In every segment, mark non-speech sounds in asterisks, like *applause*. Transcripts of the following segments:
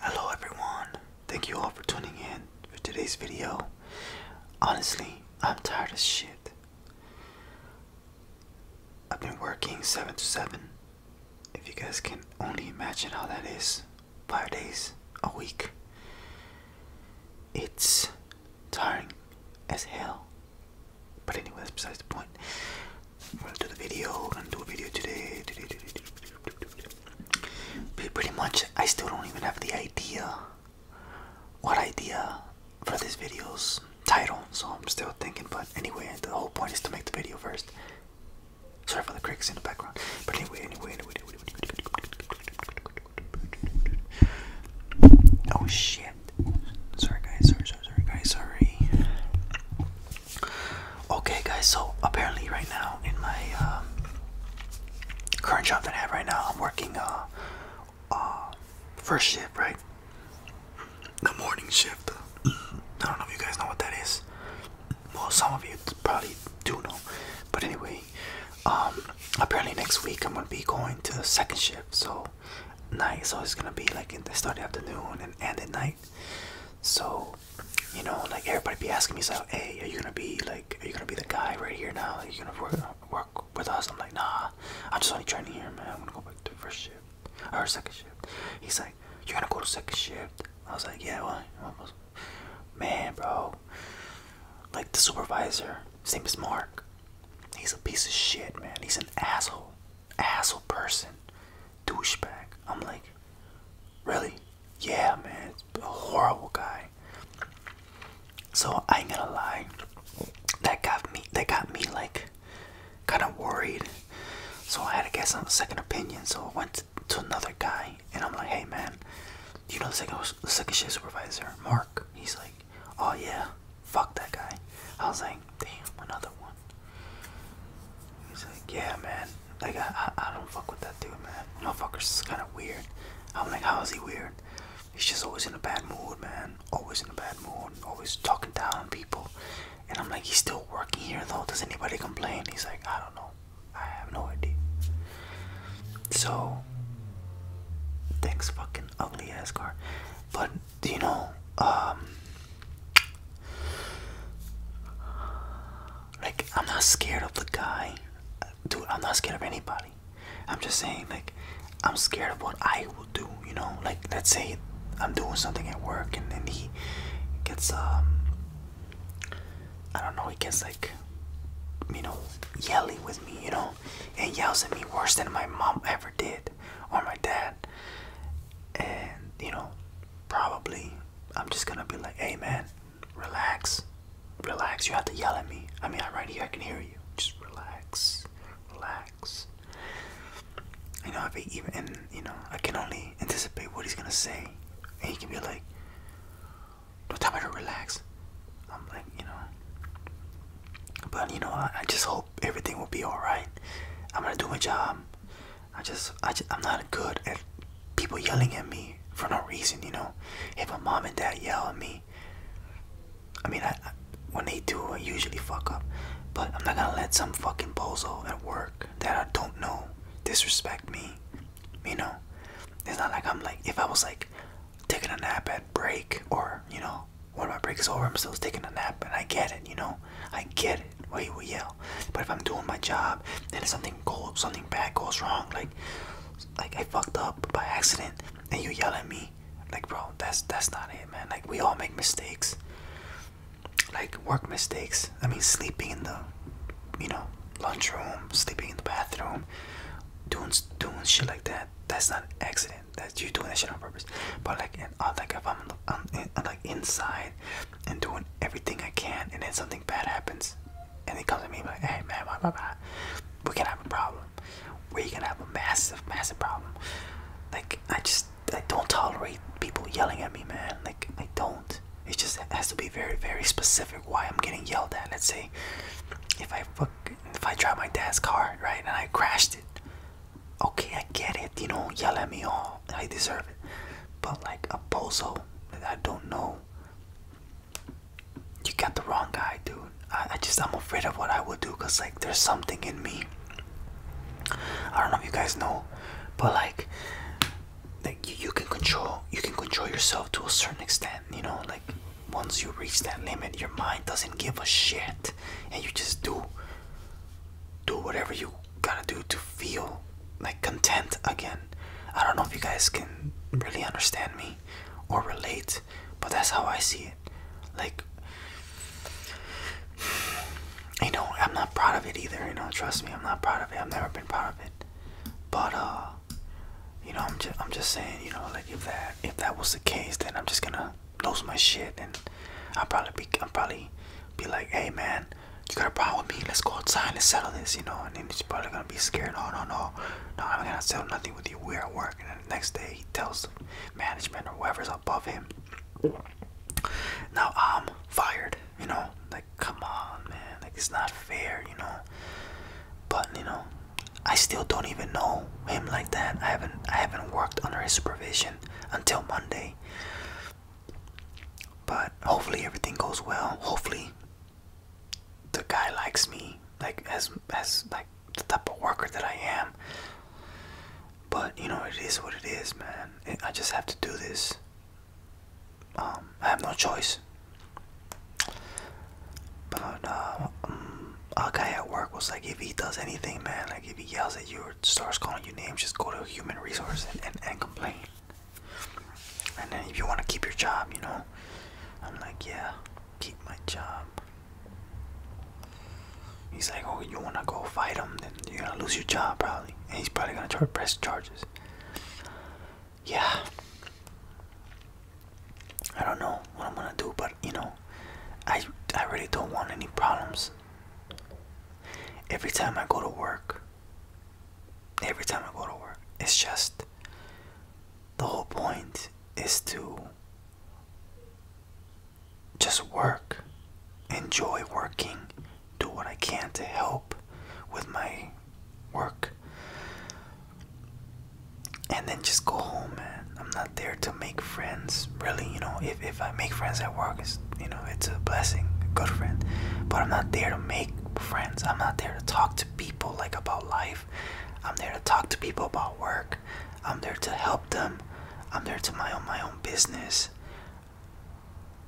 Hello everyone. Thank you all for tuning in for today's video. Honestly, I'm tired as shit. I've been working 7 to 7. If you guys can only imagine how that is, 5 days a week. It's tiring as hell. But anyway, that's besides the point. I'm gonna do the video. I'm gonna do a video today. today, today, today. But pretty much, I still don't even have the idea. What idea for this video's title? So I'm still thinking. But anyway, the whole point is to make the video first. Sorry for the cracks in the background. But anyway, anyway, anyway. anyway, anyway. Oh shit! Sorry guys. Sorry, sorry, sorry guys. Sorry. Okay, guys, so apparently, right now in my um, current job that I have right now, I'm working uh, uh first shift, right? The morning shift. *clears throat* I don't know if you guys know what that is. Well, some of you probably do know, but anyway, um, apparently next week I'm gonna be going to the second shift, so night. So it's gonna be like in the start of the afternoon and end at night. So, you know, like everybody be asking me, so hey, are you gonna be like, are you gonna be the guy right here now? Are you gonna work work with us? I'm like, nah, I'm just only training here, man. I'm gonna go back to first shift or second shift. He's like, you're gonna go to second shift. I was like, yeah, well, man, bro. Like the supervisor, his name is Mark. He's a piece of shit, man. He's an asshole, asshole person douchebag. I'm like, really? Yeah, man, a horrible guy. So I ain't gonna lie, that got me. That got me like kind of worried. So I had to get some second opinion. So I went to another guy, and I'm like, hey, man, you know the second second shift supervisor, Mark. He's like, oh yeah, fuck that guy. I was like, damn, another one. He's like, yeah, man. Like, I, I, don't fuck with that dude, man. Motherfucker's kind of weird. I'm like, how is he weird? He's just always in a bad mood, man. Always in a bad mood. Always talking down people. And I'm like, he's still working here, though. Does anybody complain? He's like, I don't know. I have no idea. So, thanks, fucking ugly ass car. But do you know um, like i'm not scared of the guy dude i'm not scared of anybody i'm just saying like i'm scared of what i will do you know like let's say i'm doing something at work and then he gets um i don't know he gets like you know yelling with me you know and yells at me worse than my mom ever did or my dad and you know probably i'm just gonna be like hey man relax relax you have to yell at me i mean i'm right here i can hear you just relax relax you know I if even you know i can only anticipate what he's gonna say and he can be like don't tell me to relax i'm like you know but you know I just hope everything will be all right i'm gonna do my job I just, I just, I'm not good at people yelling at me for no reason, you know. If my mom and dad yell at me, I mean, when they do, I usually fuck up. But I'm not gonna let some fucking bozo at work that I don't know disrespect me, you know. It's not like I'm like, if I was like taking a nap at break or, you know, when my break is over, I'm still taking a nap and I get it, you know. I get it. Why you would yell? But if I'm doing my job and if something goes, something bad goes wrong, like, like I fucked up by accident, and you yell at me, like, bro, that's that's not it, man. Like we all make mistakes. Like work mistakes. I mean, sleeping in the, you know, lunchroom, sleeping in the bathroom, doing doing shit like that. That's not accident. That's you doing that shit on purpose. But like, and uh, like I'm on inside and doing everything I can, and then something bad happens, and they come to me like, "Hey man, blah, blah, blah. we can have a problem. We are gonna have a massive, massive problem." Like I just I don't tolerate people yelling at me, man. Like I don't. It just has to be very, very specific why I'm getting yelled at. Let's say if I fuck, if I drive my dad's car, right, and I crashed it, okay, I get it, you know, yell at me all, I deserve it. But like a bozo I don't know, you got the wrong guy, dude. I, just, I'm afraid of what I will do because like there's something in me. I don't know if you guys know, but like, like you can control, you can control yourself to a certain extent, you know, like once you reach that limit, your mind doesn't give a shit and you just do do whatever you gotta do to feel like content again. I don't know if you guys can really understand me or relate, but that's how I see it. Like, you know, I'm not proud of it either. You know, trust me, I'm not proud of it. I've never been proud of it. But uh, you know, I'm just I'm just saying, you know, like if that if that was the case, then I'm just gonna lose my shit and I'll probably be I'll probably be like, hey man, you got a problem with me? Let's go outside, and settle this, you know. And then he's probably gonna be scared. No, no, no, no, I'm gonna settle nothing with you. We're at work. And the next day he tells management or whoever's above him. Now I'm fired, you know. Like, come on, man. Like it's not fair, you know. But you know, I still don't even know him like that. I haven't I haven't worked under his supervision until Monday. But hopefully everything goes well. Hopefully the guy likes me, like as as like the type of worker that I am. But you know it is what it is, man. I just have to do this. Um, I have no choice. But a uh, mm, guy at work was like, if he does anything, man, like if he yells at you or starts calling your name. just go to human resource and, and, complain. And then if you want to keep your job, you know, I'm like, yeah, keep my job. He's like, oh, you wanna go fight him? Then you're gonna lose your job probably, and he's probably gonna try to press charges. Yeah, I don't know what I'm gonna do, but you know, I I really don't want any problems Every time I go to work, every time I go to work, it's just the whole point is to just work, enjoy working, do what I can to help with my work, and then just go home, man. I'm not there to make friends really you know if, if i make friends at work it's you know it's a blessing a good friend but i'm not there to make friends i'm not there to talk to people like about life i'm there to talk to people about work i'm there to help them i'm there to my own my own business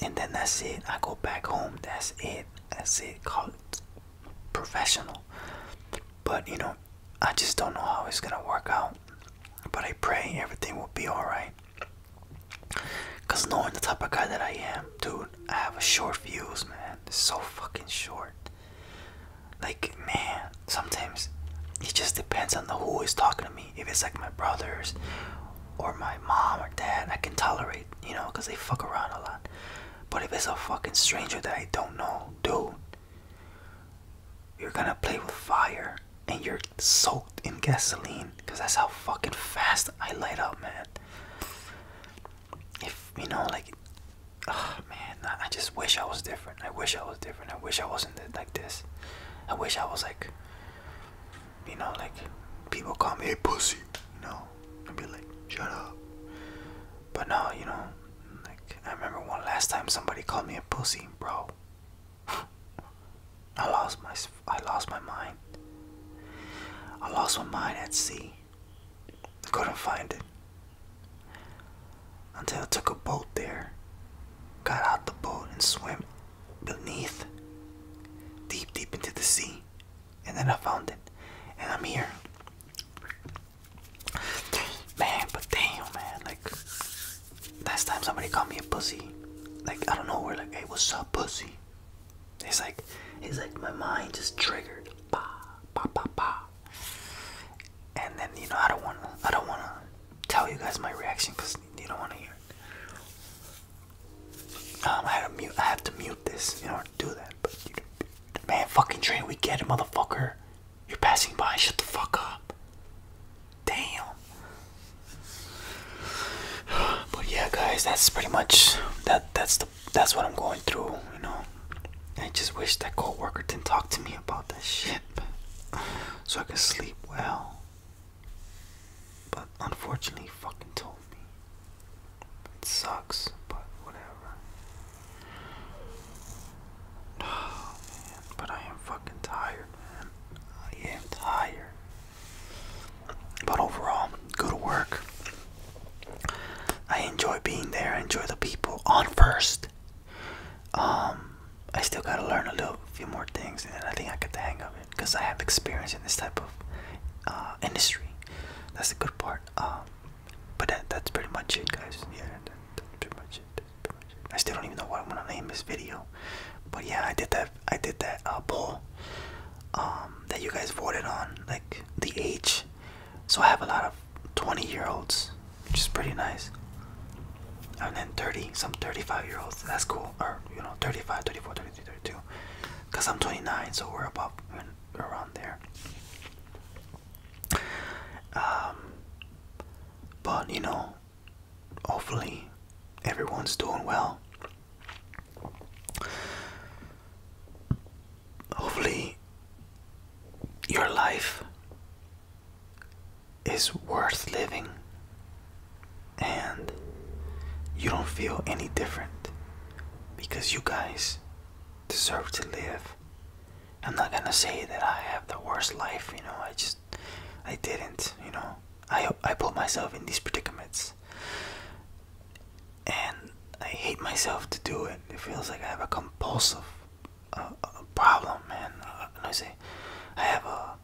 and then that's it i go back home that's it that's it call it professional but you know i just don't know how it's gonna work out but I pray everything will be alright. Cause knowing the type of guy that I am, dude, I have a short fuse, man. so fucking short. Like, man, sometimes it just depends on who is talking to me. If it's like my brothers or my mom or dad, I can tolerate, you know, cause they fuck around a lot. But if it's a fucking stranger that I don't know, dude, you're gonna play with fire and you're soaked in gasoline because that's how fucking fast I light up, man. If you know, like, oh man, I just wish I was different. I wish I was different. I wish I wasn't like this. I wish I was like, you know, like people call me a pussy, you know, I'd be like, shut up. But now, you know, like I remember one last time somebody called me a pussy, bro. I lost my I lost my mind. I lost my mind at sea. I couldn't find it until I took a boat there, got out the boat and swam beneath, deep, deep into the sea, and then I found it, and I'm here. Man, but damn, man, like last time somebody called me a pussy, like I don't know, where, are like, hey, what's up, pussy? It's like, it's like my mind just triggered, bah, bah, bah, bah. And then you know, I don't wanna, I don't wanna tell you guys my reaction because you don't wanna hear it. Um, I had to mute, I have to mute this in order to do that. But man, fucking train, we get him, motherfucker. You're passing by, shut the fuck up. Damn. But yeah guys, that's pretty much that that's the that's what I'm going through, you know. I just wish that coworker didn't talk to me about that shit *laughs* so I could sleep well. But unfortunately fucking told me. It sucks, but whatever. Oh, but I am fucking tired, man. I am tired. But overall, go to work. I enjoy being there. I enjoy the people. On first, um, I still gotta learn a little, few more things, and I think I got the hang of it because I have experience in this type of uh, industry. That's the good part. Um, but that, that's pretty much it, guys. Yeah, that's pretty much it. I still don't even know what I'm gonna name this video. But yeah, I did that. I did that uh, poll um, that you guys voted on, like the age. So I have a lot of 20-year-olds, which is pretty nice. And then 30, some 35-year-olds. That's cool. Or you know, 35, 33, 32. Cause I'm 29, so we're about around there. Um, but you know, hopefully everyone's doing well. Hopefully your life is worth living and you don't feel any different because you guys deserve to live I'm not gonna say that I have the worst life, you know. I just, I didn't, you know. I I put myself in these predicaments, and I hate myself to do it. It feels like I have a compulsive a uh, uh, problem, man. no, I say, I have a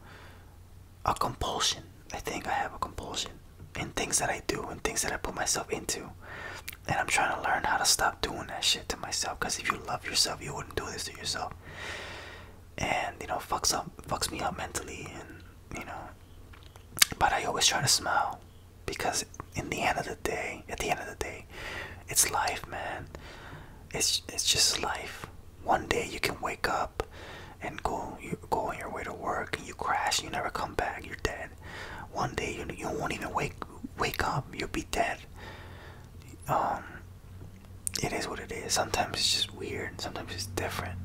a compulsion. I think I have a compulsion in things that I do and things that I put myself into, and I'm trying to learn how to stop doing that shit to myself. Cause if you love yourself, you wouldn't do this to yourself. And you know, fucks up, fucks me up mentally, and you know. But I always try to smile, because in the end of the day, at the end of the day, it's life, man. It's it's just life. One day you can wake up and go you go on your way to work and you crash and you never come back you're dead one day you, you won't even wake wake up you'll be dead um it is what it is. Sometimes it's just weird. Sometimes it's different.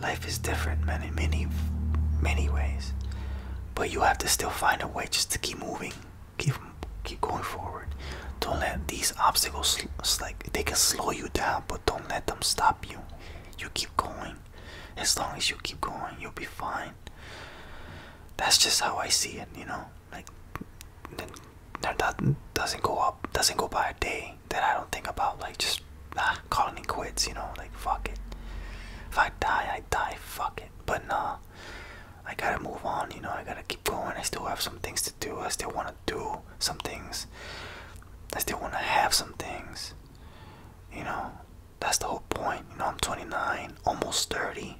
Life is different, man, in many, many ways. But you have to still find a way just to keep moving, keep, keep going forward. Don't let these obstacles, like they can slow you down, but don't let them stop you. You keep going. As long as you keep going, you'll be fine. That's just how I see it, you know. Like that doesn't go up doesn't go by a day Then I don't think about like just ah, calling it quits you know like fuck it if I die I die fuck it but nah I gotta move on you know I gotta keep going I still have some things to do I still want to do some things I still want to have some things you know that's the whole point you know I'm 29 almost 30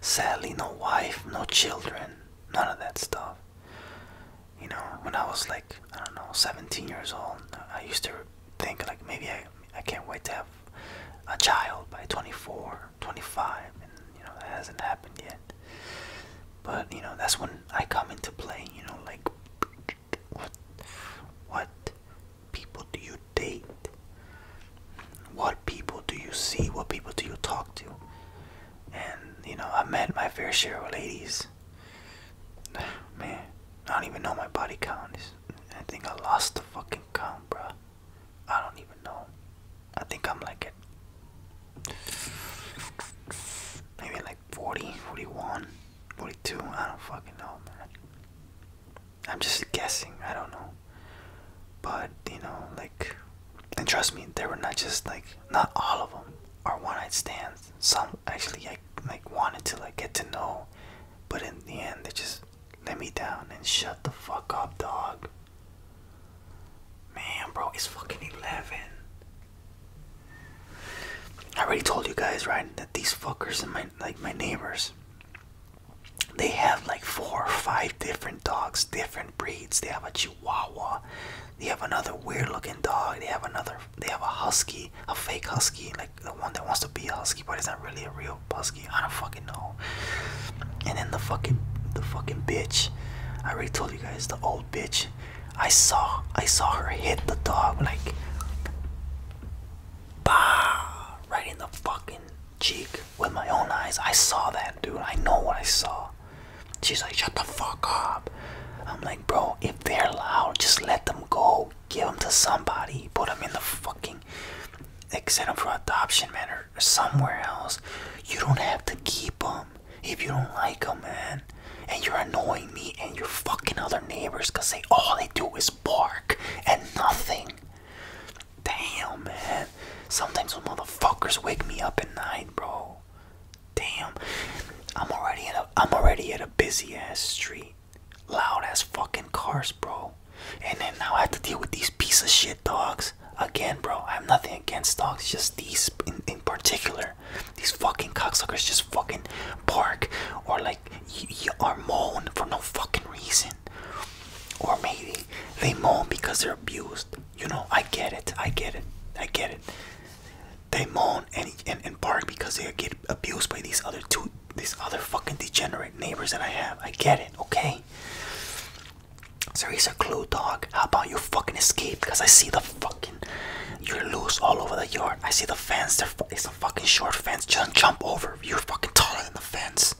Sadly, no wife, no children, none of that stuff. You know, when I was like, I don't know, 17 years old, I used to think like maybe I, I can't wait to have a child by 24, 25, and you know, that hasn't happened yet. But you know, that's when I come into play, you know, like, what, what people do you date? What people do you see? What people do you talk to? And you know, I met my fair share of ladies. *sighs* Man, I don't even know my body count. I think I lost the fucking count, bro. I don't even know. I think I'm like it. maybe like 40, 41, 42. I don't fucking know, man. I'm just guessing, I don't know. But you know, like, and trust me, they were not just like, not all of them are one eyed stands. Some actually, I like wanted to like get to know, but in the end, they just let me down and shut the fuck up, dog. Man, bro, it's fucking eleven. I already told you guys, right, that these fuckers and my like my neighbors, they have like four or five different dogs, different breeds. They have a Chihuahua, they have another weird-looking dog. They have another. They have a husky, a fake husky, like the one that wants to be a husky, but it's not really a real husky. I don't fucking know. And then the fucking, the fucking bitch. I already told you guys the old bitch. I saw, I saw her hit the dog like, bah, right in the fucking cheek with my own eyes. I saw that, dude. I know what I saw. She's like, shut the fuck up. I'm like, bro, if they're loud, just let them go. Give them to somebody. Put them in the fucking. Like, send them for adoption, man, or, or somewhere else. You don't have to keep them if you don't like them, man. And you're annoying me and your fucking other neighbors because they all they do is bark and nothing. Damn, man. Sometimes those motherfuckers wake me up at night, bro. Damn. I'm already in a I'm already at a busy ass street. Loud ass fucking cars, bro. And then now I have to deal with these piece of shit dogs. Again, bro, I have nothing against dogs, just these in, in particular. These fucking cocksuckers just fucking bark or like y are moan for no fucking reason. Or maybe they moan because they're abused. You know, I get it. I get it. I get it. They moan and and, bark because they get abused by these other two, these other fucking degenerate neighbors that I have. I get it. Okay. So he's a clue, dog. How about you fucking escape? Because I see the fucking you're loose all over the yard. I see the fence. There, it's a fucking short fence. Just jump over. You're fucking taller than the fence.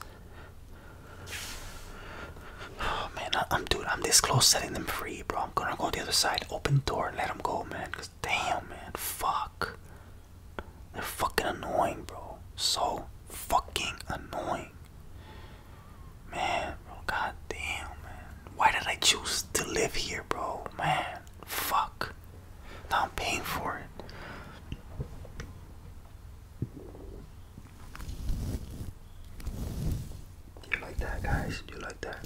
Oh man, I'm dude, I'm this close setting them free, bro. I'm gonna go the other side, open door, and let them go, man. Cause damn, man, fuck. They're fucking annoying, bro. So fucking annoying. Man, god damn, man. Why did I choose to live here, bro? Man, fuck. Now I'm paying for it. You like that, guys? You like that?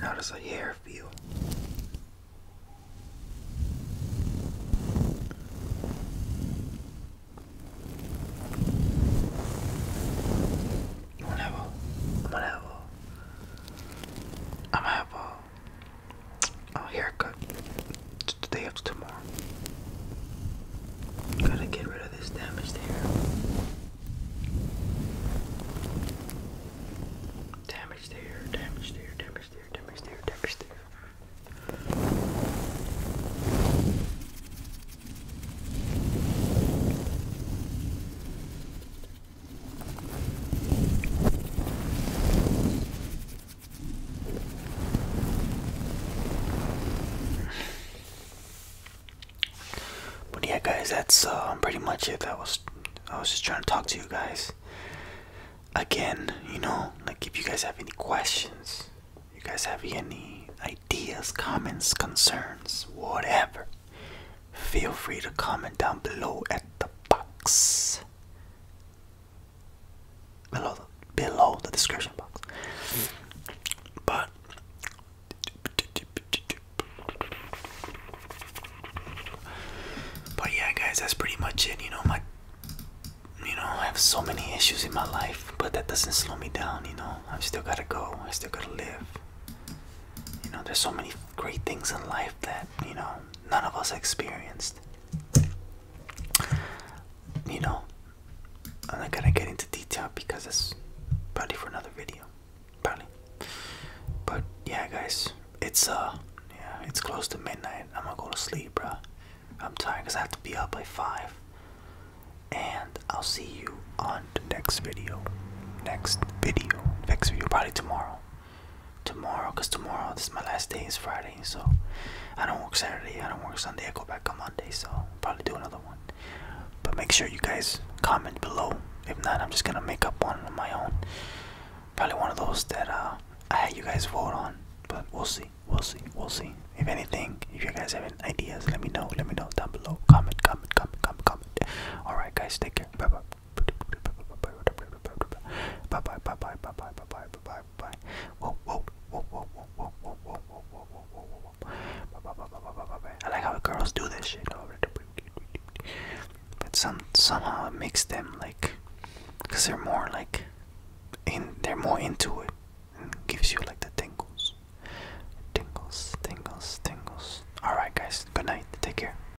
How does the hair feel? Whenever, whenever, I'm gonna have a, Oh, haircut. today it's tomorrow. Gotta get rid of this damaged hair. Damaged hair, damaged hair, damaged hair, damaged hair, damaged hair. But yeah, guys, that's uh, pretty much it. That was I was just trying to talk to you guys. Again, you know, like if you guys have any questions, you guys have any ideas, comments, concerns, whatever, feel free to comment down below at the box below the, below the description box. But but yeah, guys, that's pretty much it. You know, my you know, I have so many issues in my life, but that doesn't slow me down. You know, i am still gotta go. I still gotta live. You know, there's so many great things in life that you know none of us experienced. You know, I'm not gonna get into detail because it's probably for another video, probably. But yeah, guys, it's uh, yeah, it's close to midnight. I'm gonna go to sleep, bro. I'm tired because I have to be up by five. And I'll see you on the next video. Next video, next video, probably tomorrow tomorrow because tomorrow this is my last day is friday so i don't work saturday i don't work sunday i go back on monday so probably do another one but make sure you guys comment below if not i'm just gonna make up one on my own probably one of those that uh, i had you guys vote on but we'll see we'll see we'll see if anything if you guys have any ideas let me know let me know down below comment comment comment comment comment all right guys take care bye bye Bye bye bye bye bye bye bye bye bye bye. Whoa whoa whoa whoa whoa whoa whoa whoa whoa whoa whoa whoa whoa. I like how girls do this shit. But some somehow it makes them like, cause they're more like, in they're more into it, and gives you like the tingles, tingles, tingles, tingles. All right, guys. Good night. Take care.